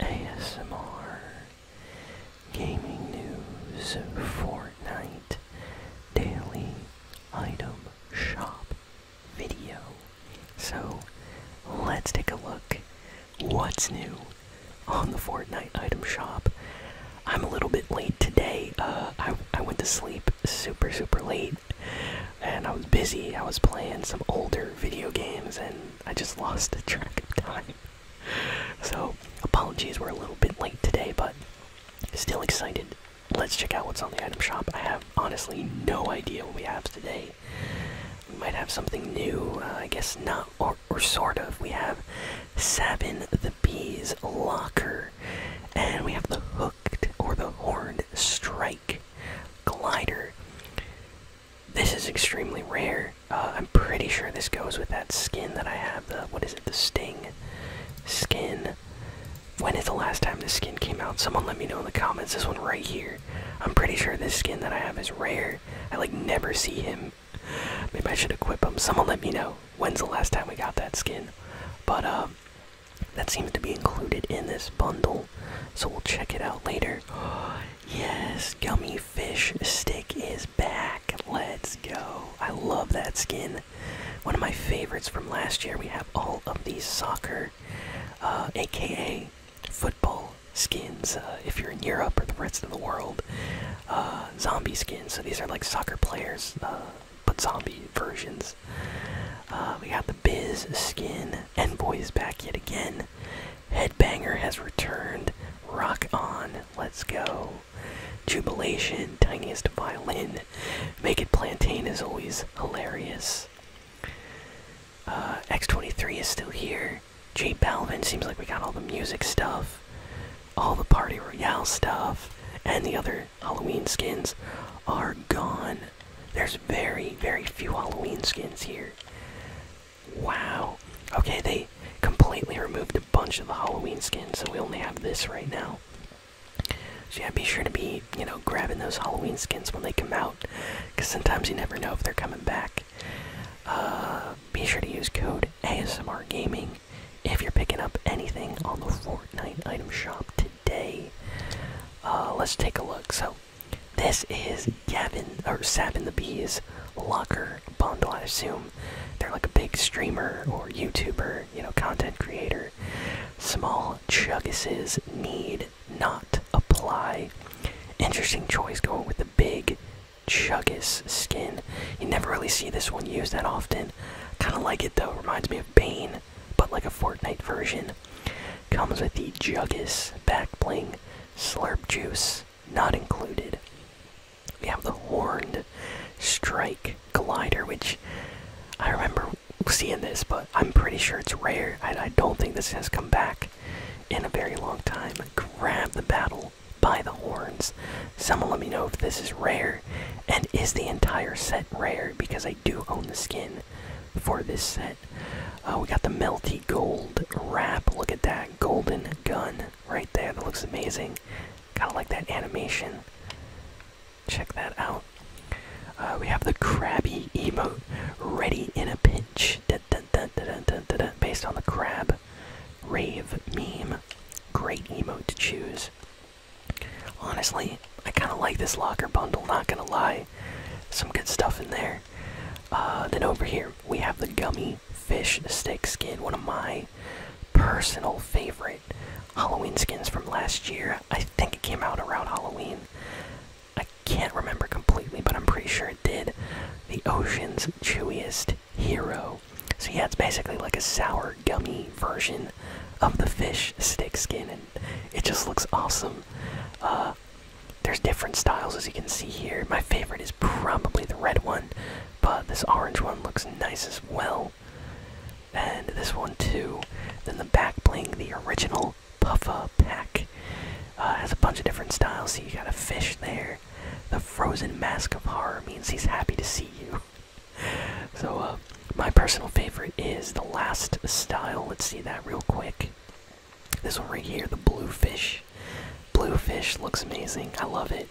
ASMR, gaming news, Fortnite, daily item shop video. So let's take a look what's new on the Fortnite item shop. I'm a little bit late today. Uh, I, I went to sleep super, super late and I was busy. I was playing some older video games and I just lost track of time. So, apologies, we're a little bit late today, but still excited. Let's check out what's on the item shop. I have honestly no idea what we have today. We might have something new, uh, I guess not, or, or sort of. We have Sabin the Bee's Locker, and we have the Hooked or the Horned Strike. Glider. This is extremely rare. Uh, I'm pretty sure this goes with that skin that I have. what is it? The Sting skin. When is the last time this skin came out? Someone let me know in the comments. This one right here. I'm pretty sure this skin that I have is rare. I like never see him. Maybe I should equip him. Someone let me know when's the last time we got that skin. But um, that seems to be included in this bundle, so we'll check it out later. yes, Gummy Fish Stick is back. Let's go. I love that skin. One of my favorites from last year. We have all of these soccer, aka uh, football skins, uh, if you're in Europe or the rest of the world. Uh, zombie skins, so these are like soccer players but zombie versions. Uh, we got the Biz skin. Boy is back yet again. Headbanger has returned. Rock on. Let's go. Jubilation. Tiniest violin. Make it plantain is always hilarious. Uh, X23 is still here. J Balvin seems like we got all the music stuff, all the Party Royale stuff, and the other Halloween skins are gone. There's very, very few Halloween skins here. Wow. Okay, they completely removed a bunch of the Halloween skins, so we only have this right now. So yeah, be sure to be, you know, grabbing those Halloween skins when they come out, because sometimes you never know if they're coming back. Uh, be sure to use code ASMR Gaming if you're picking up anything on the Fortnite item shop today. Day, uh, let's take a look. So, this is Gavin or Sabin the Bee's locker bundle. I assume they're like a big streamer or YouTuber, you know, content creator. Small chuggises need not apply. Interesting choice going with the big chuggus skin. You never really see this one used that often. Kind of like it though. Reminds me of. Bane, but like a Fortnite version. Comes with the Juggis back bling, Slurp Juice, not included. We have the Horned Strike Glider, which I remember seeing this, but I'm pretty sure it's rare. I don't think this has come back in a very long time. Grab the battle by the horns. Someone let me know if this is rare and is the entire set rare because I do own the skin for this set. Uh, we got the melty gold wrap. Look at that golden gun right there. That looks amazing. Kind of like that animation. Check that out. Uh, we have the crabby emote, ready in a pinch, based on the crab rave meme. Great emote to choose. Honestly, I kind of like this locker bundle, not gonna lie. Some good stuff in there. Uh, then over here, we have the gummy fish stick skin, one of my personal favorite Halloween skins from last year. I think it came out around Halloween. I can't remember completely, but I'm pretty sure it did. The Ocean's Chewiest Hero so yeah, it's basically like a sour gummy version of the fish stick skin, and it just looks awesome. Uh, there's different styles as you can see here. My favorite is probably the red one, but this orange one looks nice as well. And this one too. Then the back bling, the original Puffa pack, uh, has a bunch of different styles. So you got a fish there, the frozen mask of horror means he's happy to see you. so, uh, my personal favorite is the last style. Let's see that real quick. This one right here, the bluefish. Bluefish looks amazing. I love it.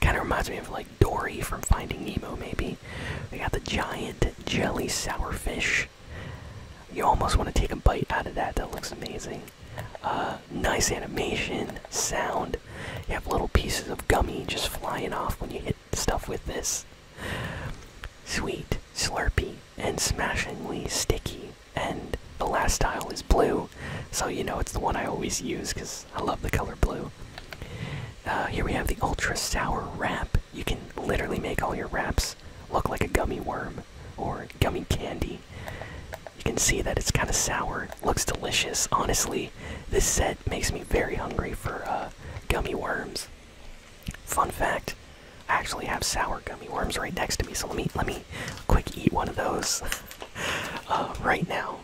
Kind of reminds me of like Dory from Finding Nemo, maybe. We got the giant jelly sourfish. You almost want to take a bite out of that. That looks amazing. Uh, nice animation, sound, you have little pieces of gummy just flying off when you hit stuff with this. Sweet, slurpy, and smashingly sticky. And the last style is blue, so you know it's the one I always use because I love the color blue. Uh, here we have the ultra sour wrap. You can literally make all your wraps look like a gummy worm or gummy candy. You can see that it's kind of sour. Looks delicious. Honestly, this set makes me very hungry for uh, gummy worms. Fun fact: I actually have sour gummy worms right next to me. So let me let me quick eat one of those uh, right now.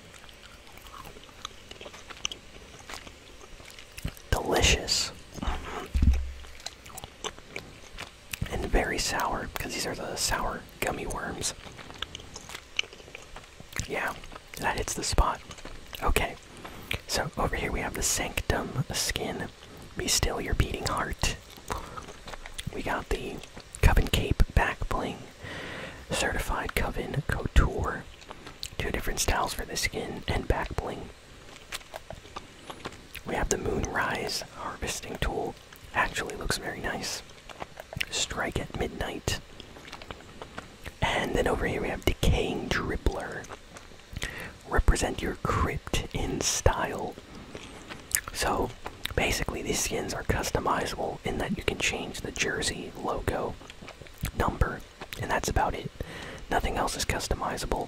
Delicious and very sour because these are the sour gummy worms. Yeah, that hits the spot. Okay, so over here we have the Sanctum skin. Be still your beating heart. We got the Coven Cape back bling, certified Coven Couture. Two different styles for the skin and back bling. We have the Moonrise harvesting tool Actually looks very nice. Strike at midnight. And then over here we have Decaying Dribbler. Represent your crypt in style. So basically, these skins are customizable in that you can change the jersey, logo, number, and that's about it. Nothing else is customizable.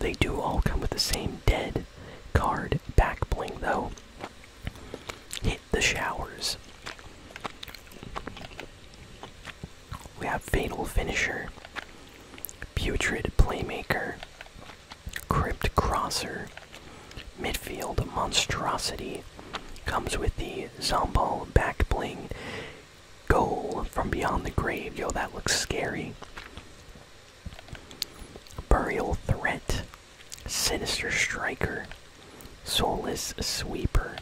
They do all come with the same dead card back bling, though. Hit the showers. We have Fatal Finisher, Putrid Playmaker, Crypt Crosser, Midfield Monstrosity. Comes with the Zombal back bling. Goal from beyond the grave. Yo, that looks scary. Burial Threat, Sinister Striker, Soulless Sweeper.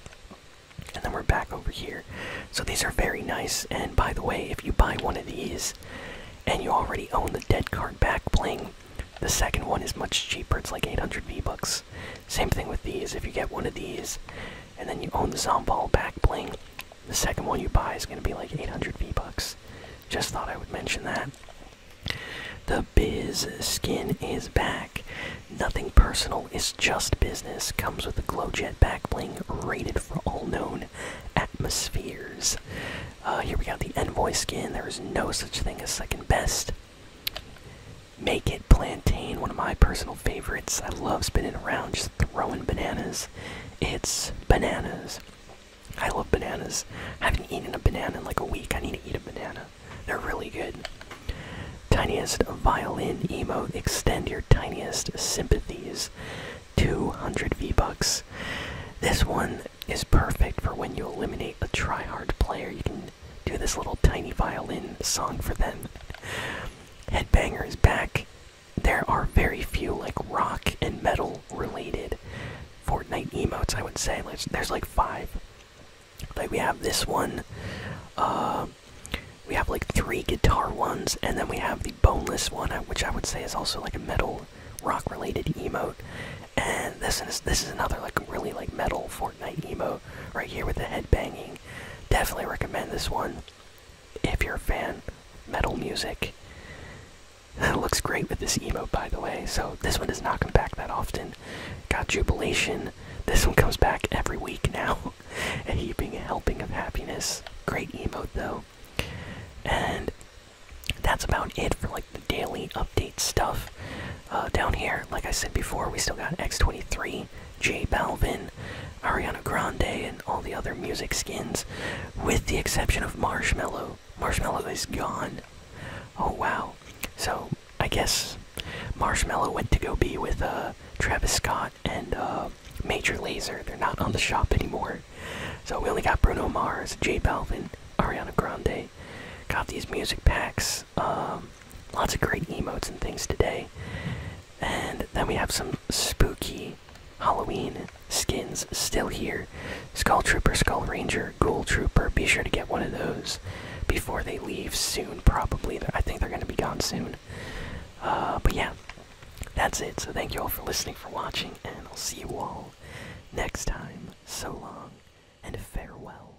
And then we're back over here. So these are very nice. And by the way, if you buy one of these and you already own the dead card back bling, the second one is much cheaper. It's like 800 V-Bucks. Same thing with these. If you get one of these and then you own the Zomball back bling, the second one you buy is going to be like 800 V bucks. Just thought I would mention that. The Biz skin is back. Nothing personal, it's just business. Comes with a glow jet back backbling rated for all known atmospheres. Uh, here we got the Envoy skin. There is no such thing as second best. Make it plantain, one of my personal favorites. I love spinning around, just throwing bananas. It's bananas. I love bananas. I haven't eaten a banana in like a week. I need to eat a banana. They're really good. Tiniest violin emo. Extend your tiniest sympathies. 200 V-Bucks. This one is perfect for when you eliminate a tryhard player. You can do this little tiny violin song for them. Headbanger is back there are very few like rock and metal related Fortnite emotes. I would say there's, there's like five. Like we have this one. Uh, we have like three guitar ones, and then we have the boneless one, uh, which I would say is also like a metal rock related emote. And this is this is another like really like metal Fortnite emote right here with the head banging. Definitely recommend this one if you're a fan metal music that looks great with this emo, by the way so this one does not come back that often got jubilation this one comes back every week now a heaping helping of happiness great emo though and that's about it for like the daily update stuff uh, down here like i said before we still got x23 Bunny, J Balvin, Ariana Grande, and all the other music skins, with the exception of Marshmallow. Marshmallow is gone. Oh wow. So I guess Marshmallow went to go be with uh, Travis Scott and uh, Major Laser. They're not on the shop anymore. So we only got Bruno Mars, J Balvin, Ariana Grande. Got these music packs. Um, lots of great emotes and things today. And then we have some spooky Halloween skins still here. Skull Trooper, Skull Ranger, Ghoul Trooper. Be sure to get one of those before they leave soon, probably. I think they're going to be gone soon. Uh, but yeah, that's it. So thank you all for listening, for watching, and I'll see you all next time. So long, and farewell.